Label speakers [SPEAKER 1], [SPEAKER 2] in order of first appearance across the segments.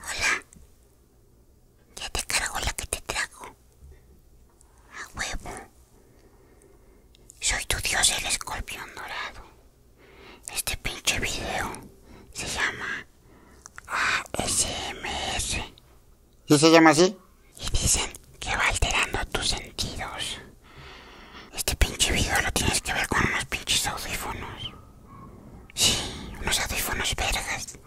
[SPEAKER 1] Hola, ya te cargo la que te trago. A huevo. Soy tu dios el escorpión dorado. Este pinche video se llama ASMS ¿Y se llama así? Y dicen que va alterando tus sentidos. Este pinche video lo tienes que ver con unos pinches audífonos. Sí, unos audífonos vergas.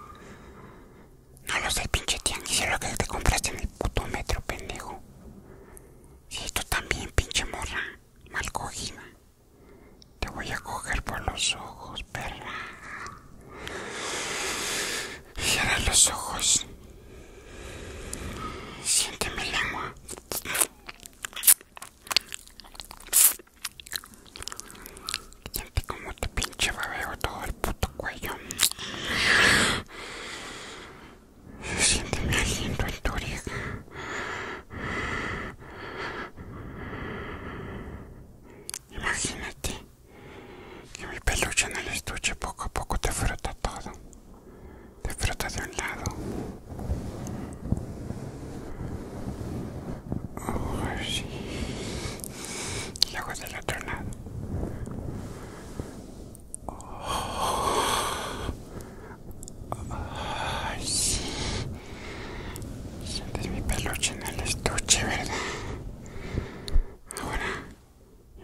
[SPEAKER 1] No los del pinche sé lo que te compraste en el puto metro, pendejo. Sí, tú también, pinche morra, mal cogida. Te voy a coger por los ojos, perra. Cierra los ojos. Siénteme el agua. Siente como te pinche babeo todo el puto cuello. Se siente mi aliento en tu Imagínate que mi peluche en el estuche poco a poco te frota todo. Te de un lado. Oh, sí. Y luego del otro lado. Oh, sí. Sientes mi peluche en el estuche, ¿verdad? Ahora,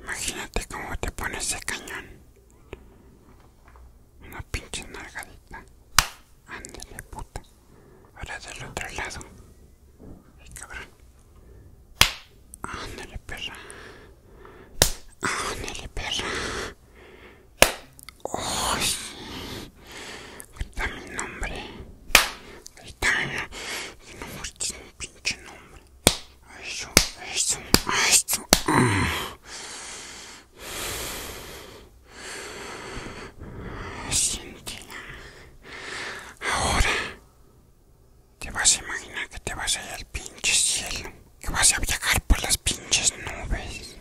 [SPEAKER 1] imagínate cómo te pone ese cañón. Una pinche nalgadita. Ándale, puta. Ahora del otro lado. Ay, cabrón. Ándale, perra. Ándale, perra. Uy. está mi nombre. está mi nombre. No un pinche nombre. Eso, eso, ahora te vas a imaginar que te vas a ir al pinche cielo, que vas a viajar por las pinches nubes,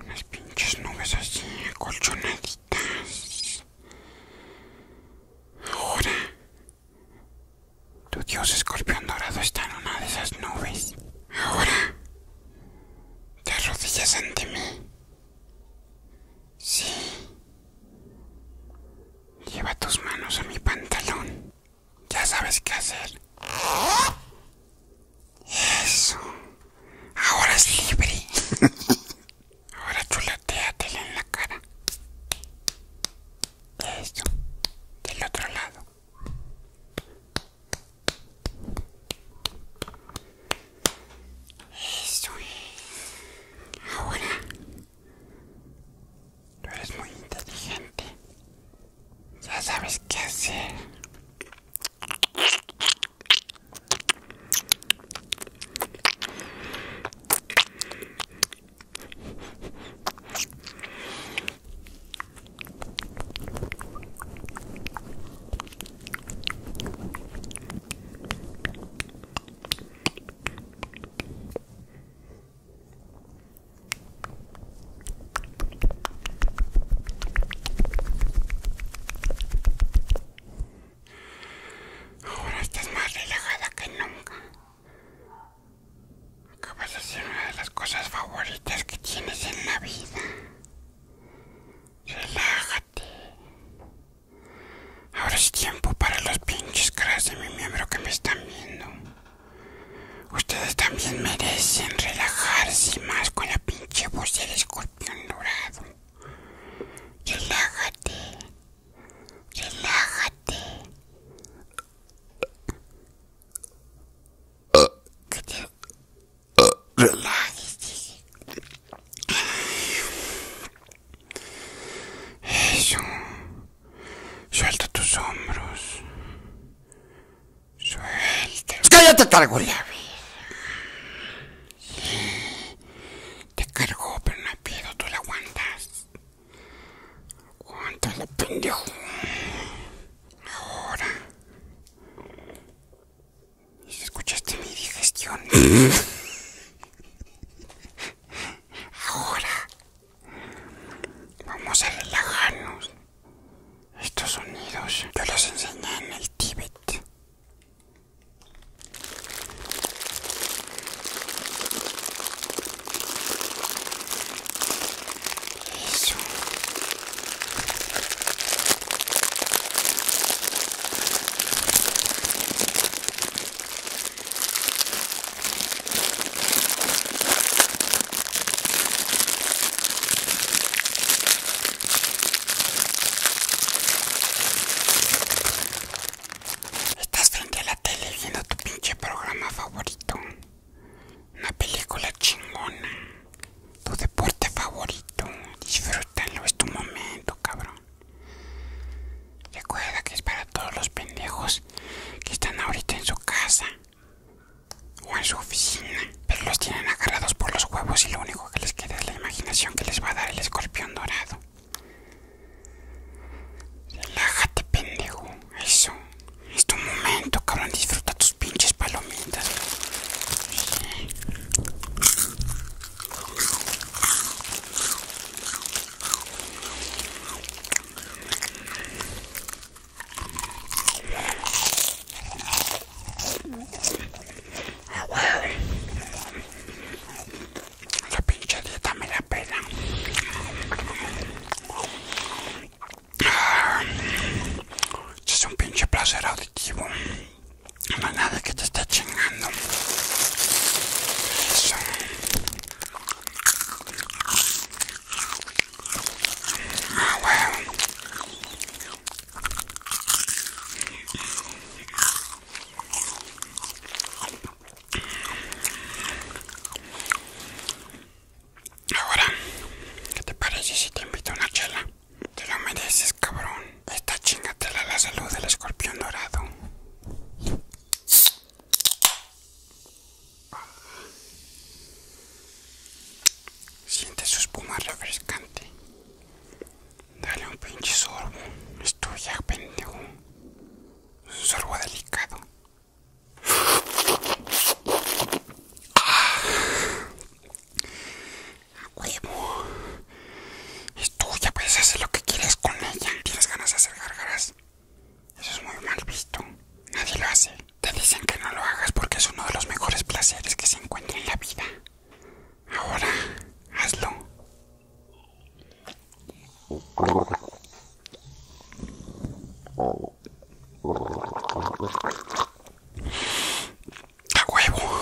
[SPEAKER 1] unas pinches nubes así acolchonaditas. Ahora tu dios escorpión dorado está en una de esas nubes. Ahora, te arrodillas ante mí. Sí. Lleva tus manos a mi pantalón. Ya sabes qué hacer. Eso. Ahora es libre. Ahora chulateate en la cara. Eso. Del otro lado. Eso es. Ahora, tú eres muy inteligente. Ya sabes qué hacer. Ahora estás más relajada que nunca. Acabas de ser una de las cosas favoritas que tienes en la vida. Relájate. Ahora es tiempo para los pinches caras de mi miembro que me están viendo. Ustedes también merecen relajarse más con la pinche voz del escorpión dorado. Relájate. Relájate. Relájese. Eso. Suelta tus hombros. Suelta. te cargo Sí. Te cargo, pero no pido, tú la aguantas. ¿Cuánto le pendió Ahora. ¿Y escuchaste mi digestión? Ahora. Vamos a relajarnos. Estos sonidos yo los enseñé en el Tíbet. Estás frente a la tele viendo tu pinche programa favorito. Una película chingona. Tu deporte favorito. Disfrútalo, es tu momento, cabrón. Recuerda que es para todos los pendejos que están ahorita en su casa o en su oficina, pero los tienen agarrados por los huevos y lo único que les queda es la imaginación que les va a dar el escorpión dorado. Relájate, pendejo. eso, es tu momento, cabrón, disfruta tus pinches palomitas. Sí. La pinche dieta me la pela. Ah, este es un pinche placer auditivo. No hay nada que te esté chingando. Ah, Ahora, ¿qué te parece si te invito a una chela? Te lo mereces, cabrón. Esta chingatela la salud del escorpión dorado. Siente su espuma refrescante. Dale un pinche sorbo. Es tuya, pendejo. Un sorbo delicado. Ah, a huevo. Es tuya, puedes hacer lo que quieras con ella. Tienes ganas de hacer gargaras. Eso es muy mal visto. Nadie lo hace. Te dicen que no lo hagas porque es uno de los mejores placeres que se encuentra en la vida. Ahora, hazlo. A huevo.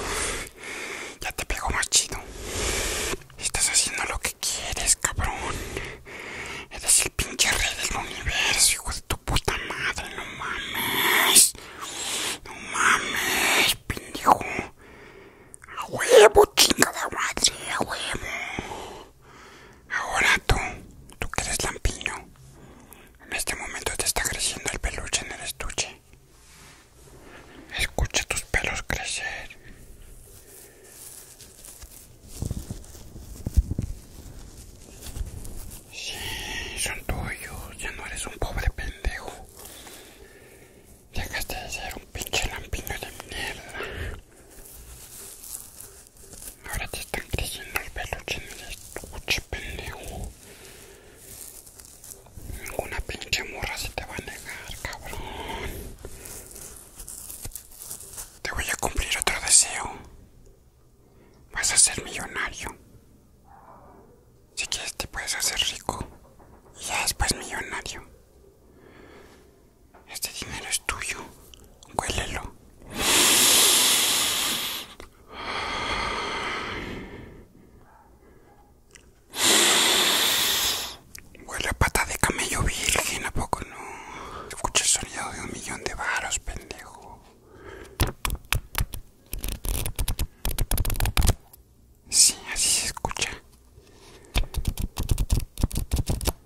[SPEAKER 1] Ya te pego más chido. Estás haciendo lo que quieres, cabrón. Eres el pinche rey del universo, hijo de tu puta madre. No mames. No mames, pendejo. A huevo, chingada madre. A huevo. Ahora tú, tú que eres lampiño. En este momento te está creciendo el peluche en el estuche. Escucha tus pelos crecer. Sí, son tuyos. Ya no eres un pobre pendejo. Dejaste de ser un pinche lampiño de mierda. Ahora te están creciendo el peluche en el estuche, pendejo. Ninguna pinche morra se te va a negar, cabrón. Te voy a cumplir otro deseo. Vas a ser millonario. Si quieres te puedes hacer rico. Y ya después millonario. Este dinero es tuyo. Huélelo. Huele a pata de camello virgen, ¿a poco no? Escucha el sonido de un millón de varos, pendejo. Sí, así se escucha.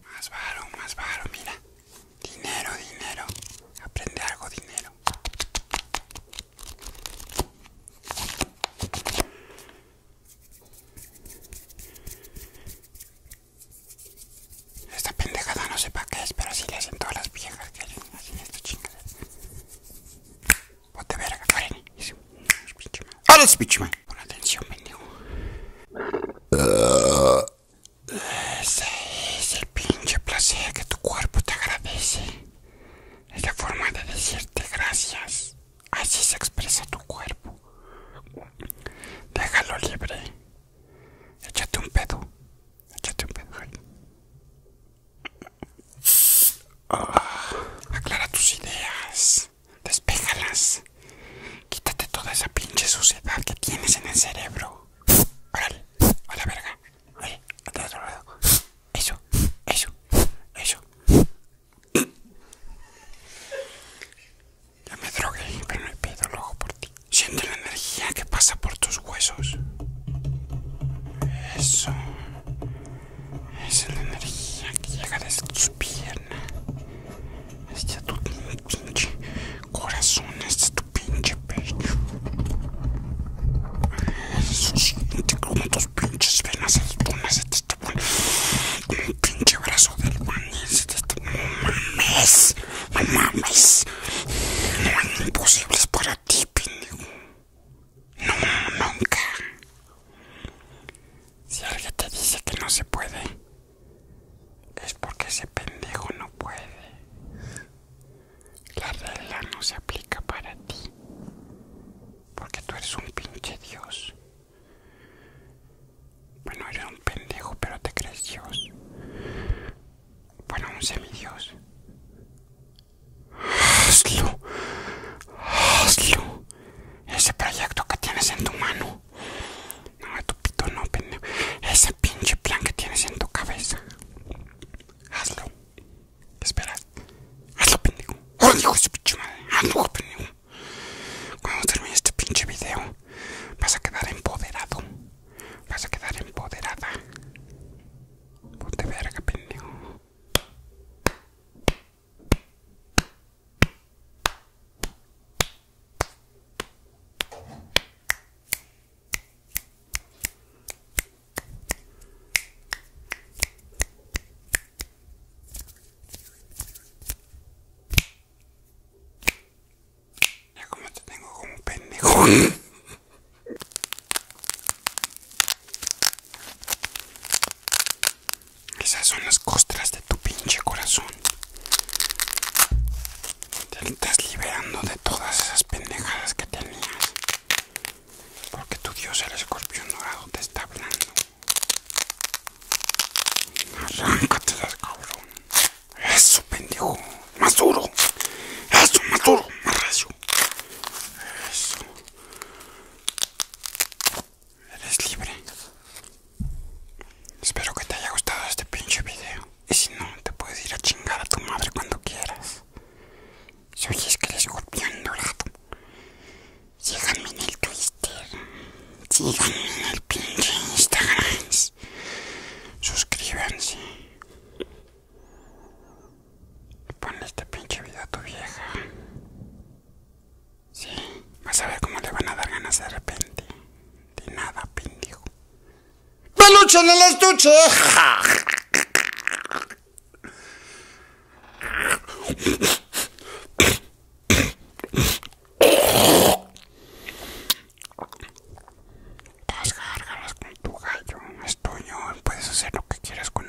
[SPEAKER 1] Más varo, más varo, mira. Dinero, dinero. Aprende algo, dinero. Esta pendejada no sé para qué es, pero así le hacen todas las viejas que hacen esta chingada. Ponte verga, Karen. los es Pon atención, pendejo. Ah. Ese es el pinche placer que tu cuerpo te agradece. Es la forma de decirte gracias. Así se expresa tu cuerpo. Déjalo libre. Échate un pedo. Échate un pedo. Ah, aclara tus ideas. Despéjalas. Quítate toda esa pinche suciedad que tienes en el cerebro. Órale, a la verga. lado. Eso, eso, eso. Ya me drogué, pero no he pedido ojo por ti. Siento la energía que pasa por tus huesos. Eso. Esa es la energía que llega desde tus piernas. ya tu pues, pinche corazón este es tu pinche pecho. Eso siente como tus pinches venas albunas se este te un pinche brazo del maní No mames, no mames. No hay imposibles para ti, pendejo. No, nunca. Si alguien te dice que no se puede, es porque ese pendejo no puede. La regla no se aplica para ti. Porque tú eres un pinche dios. Bueno, eres un pendejo, pero te crees dios. Bueno, un semidios. Hazlo. Hazlo. Ese proyecto que tienes en tu mano. No, tu pito no, pendejo. Ese pinche plan que tienes en tu cabeza. Hazlo. Espera. Hazlo, pendejo. Hazlo, oh, pendejo. Hazlo, pendejo. Cuando termine este pinche video, vas a quedar empoderado. Vas a quedar empoderada. Ponte verga, pendejo. Ya como te tengo como un pendejo. Esas son las costras tu pinche corazón. Te estás liberando de todas esas pendejadas que tenías. Porque tu dios, el escorpión dorado, te está hablando. Arráncatelas, cabrón. Eso, pendejo. Más duro. Eso, más duro. Más recio. Eso eres libre. Espero que te haya gustado este pinche video. Y si no, te puedes ir a chingar a tu madre cuando quieras. Si oyes que el escorpión dorado. Síganme en el Twitter. Síganme en el pinche Instagram. Suscríbanse. Ponle este pinche video a tu vieja. Sí, vas a ver cómo le van a dar ganas de repente. De nada, pendejo. ¡Peluche en el estuche! Las con tu gallo es tuyo, puedes hacer lo que quieras con